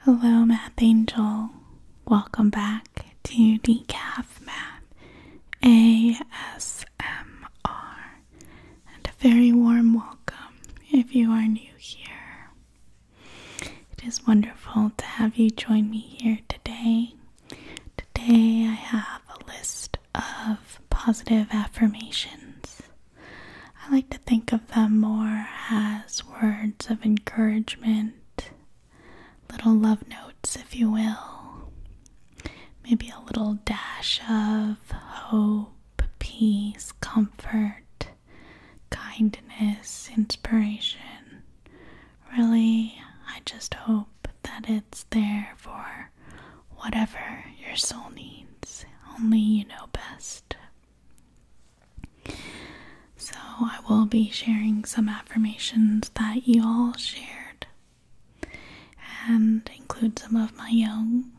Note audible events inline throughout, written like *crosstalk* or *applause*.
Hello, Math Angel. Welcome back to Decaf Math ASMR. And a very warm welcome if you are new here. It is wonderful to have you join me here today. Today, I have a list of positive affirmations. I like to think of them more as words of encouragement, little love notes, if you will, maybe a little dash of hope, peace, comfort, kindness, inspiration. Really, I just hope that it's there for whatever your soul needs. Only you know best. So, I will be sharing some affirmations that you all shared and include some of my own.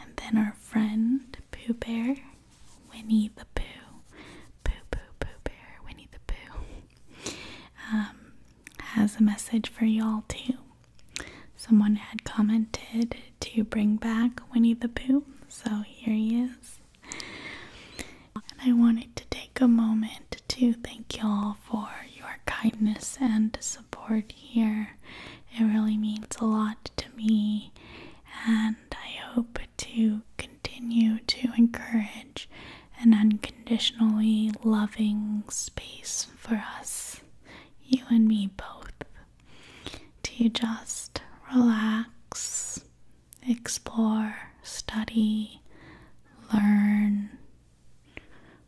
And then our friend Pooh Bear, Winnie the Pooh, Pooh Pooh Pooh Bear, Winnie the Pooh, um, has a message for y'all too. Someone had commented to bring back Winnie the Pooh, so here he is. And I wanted to take a moment to thank y'all for your kindness and support here. It really means a lot to me, and I hope to continue to encourage an unconditionally loving space for us, you and me both, to just relax explore, study, learn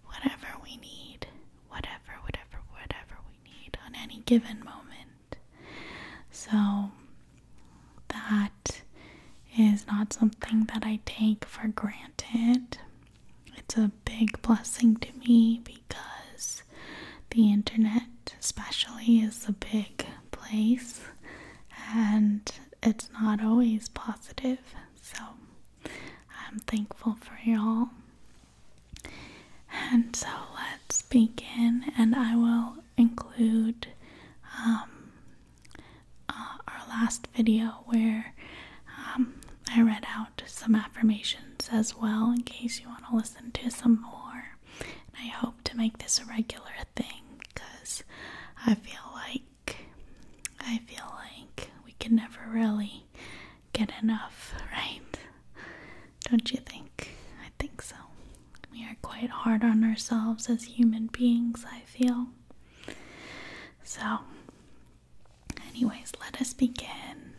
whatever we need, whatever, whatever, whatever we need on any given moment. So that is not something that I take for granted. It's a big blessing to me because the internet especially, is a big place and it's not always positive. So I'm thankful for y'all. And so let's begin, and I will include um, uh, our last video where um, I read out some affirmations as well in case you want to listen to some more. I hope to make this a regular thing because I feel like I feel like we can never really get enough, right? Don't you think? I think so. We are quite hard on ourselves as human beings, I feel. So, anyways, let us begin.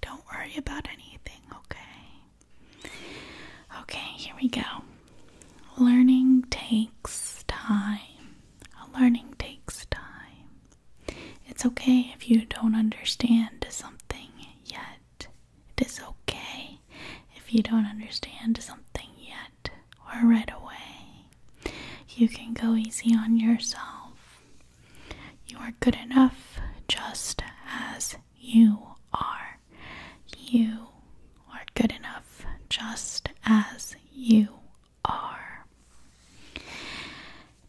Don't worry about anything, okay? Okay, here we go. Learning takes time. Learning takes time. It's okay if you don't understand something yet. It is okay if you don't understand something yet or right away. You can go easy on yourself. You are good enough just as you are. You are good enough just as you are.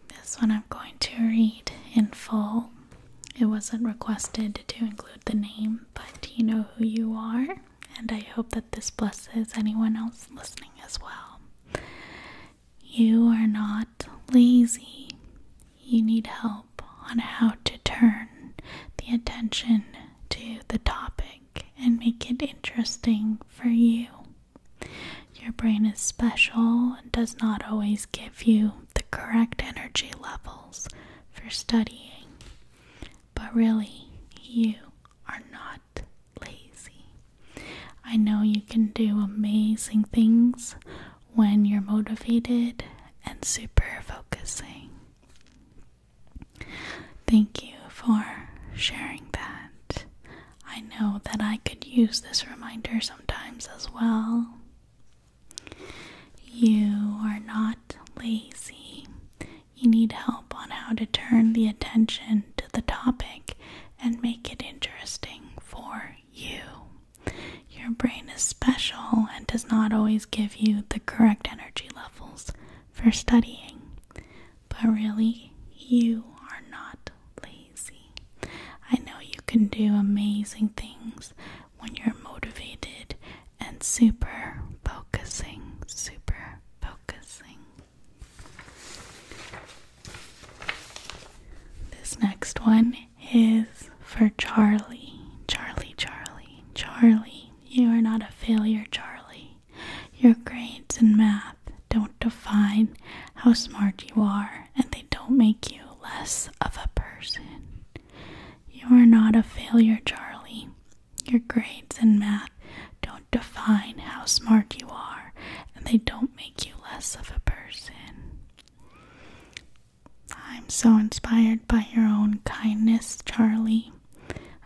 This one I'm going to read in full. It wasn't requested to include the name, but you know who you are, and I hope that this blesses anyone else listening as well. You are not lazy you need help on how to turn the attention to the topic and make it interesting for you. Your brain is special and does not always give you the correct energy levels for studying, but really, you are not lazy. I know you can do amazing things when you're motivated and super focusing. Thank you for sharing that. I know that I could use this reminder sometimes as well. You are not lazy. You need help on how to turn the attention to the topic and make it interesting for you. Your brain is special and does not always give you the correct energy levels for studying. But really, you are not lazy. I know you can do amazing things when you're motivated and super focusing, super focusing. This next one is for Charlie. Charlie, Charlie. Charlie, you are not a failure, Charlie. Your grades in math don't define how smart you are, and they don't make you less of a person. You are not a failure, Charlie. Your grades in math don't define how smart you are, and they don't make you less of a person. I'm so inspired by your own kindness, Charlie.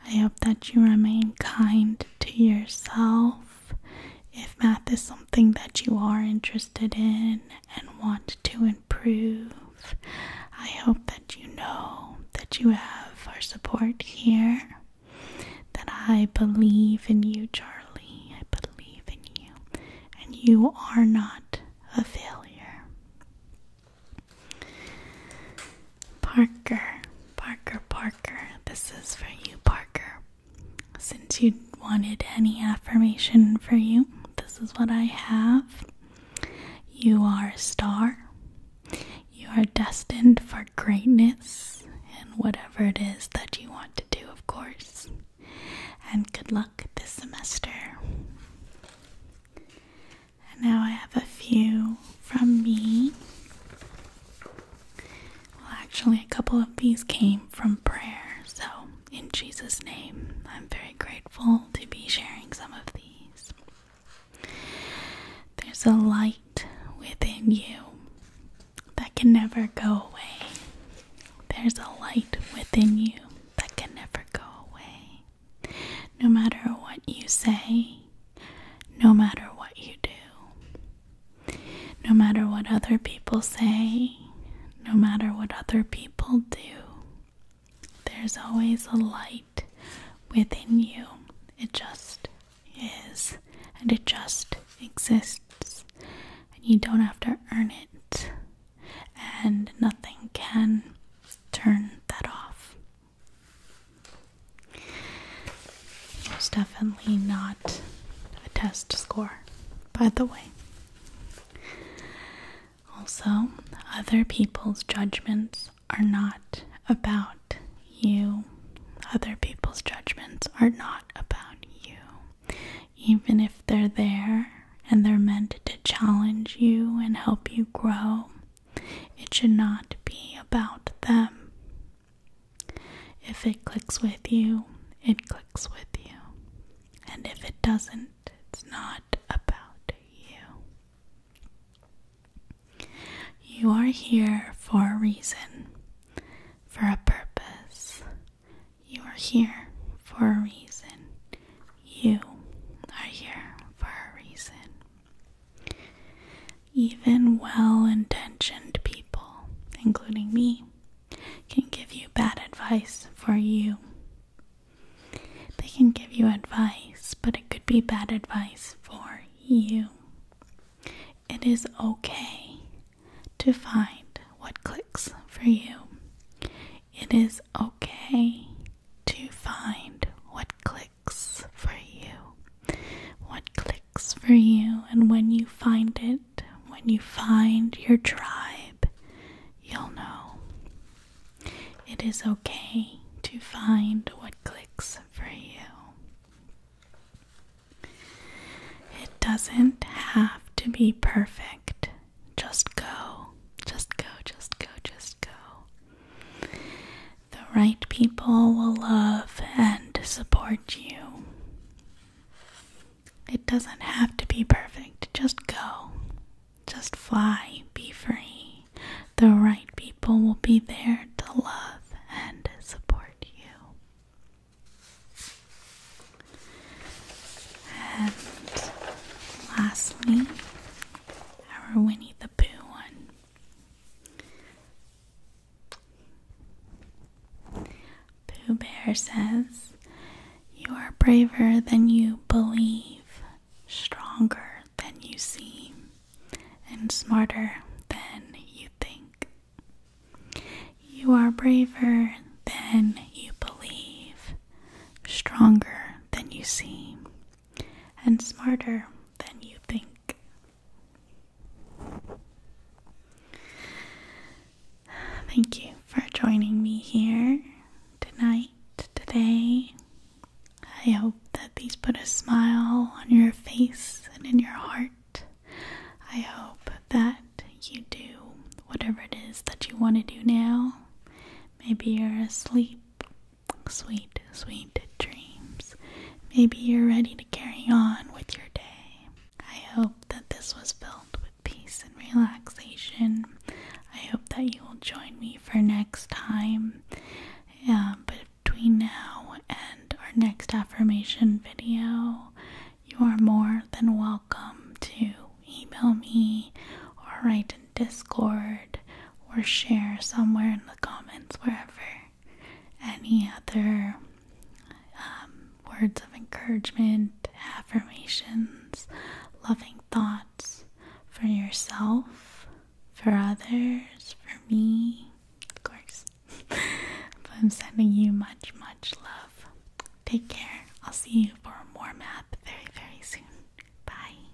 I hope that you remain kind to yourself. If math is something that you are interested in and want to improve, I hope that you know that you have our support here. That I believe in you, Charlie. I believe in you. And you are not a failure. Parker, Parker, Parker. This is for you, Parker. Since you wanted any affirmation for you, this is what I have. You are a star. You are destined for greatness in whatever it is that you want to do, of course. And good luck this semester. And now I have a few from me. Well, actually, a couple of these came from prayer, so in Jesus' name, I'm very grateful to be sharing some of these. There's a light within you that can never go away. There's a light within you that can never go away. No matter what you say, no matter what you do, no matter what other people say, no matter what other people do, there's always a light within you. It just is, and it just exists, and you don't have to earn it and nothing can turn that off. It's definitely not a test score, by the way. Also, other people's judgments are not about you. Other people's judgments are not about you. Even if they're there and they're meant to challenge you and help you grow, it should not be about them. If it clicks with you, it clicks with you. And if it doesn't, it's not about you. You are here for a reason, for a purpose. You are here for a reason. You are here for a reason. Even well intentioned people, including me, can give you bad advice for you. They can give you advice, but it could be bad advice for you. It is okay to find what clicks for you. It is okay to find what clicks for you. What clicks for you, and when you find it, when you find your tribe, you'll know. It is okay to find what clicks for you. It doesn't have to be perfect. Just go, just go, just go, just go. The right people will love and support you. It doesn't have to be perfect. Just go. Just fly. Be free. The right people will be there to love and support you. And lastly, our Winnie the Pooh one. Pooh Bear says, You are braver than you believe, stronger than you seem, and smarter than you think. You are braver than you believe, stronger than you seem, and smarter than you think. Thank you for joining me here tonight, today. I hope that these put a smile on your face and in your heart. I hope that you do whatever it is that you want to do now. Maybe you're asleep sweet, sweet dreams. Maybe you're ready to carry on with your day. I hope that this was filled with peace and relaxation. I hope that you will join me for next time. Uh, between now and our next affirmation video, you are more than welcome to email me Alright. Discord or share somewhere in the comments, wherever, any other um, words of encouragement, affirmations, loving thoughts for yourself, for others, for me, of course. *laughs* I'm sending you much, much love. Take care. I'll see you for more map very, very soon. Bye.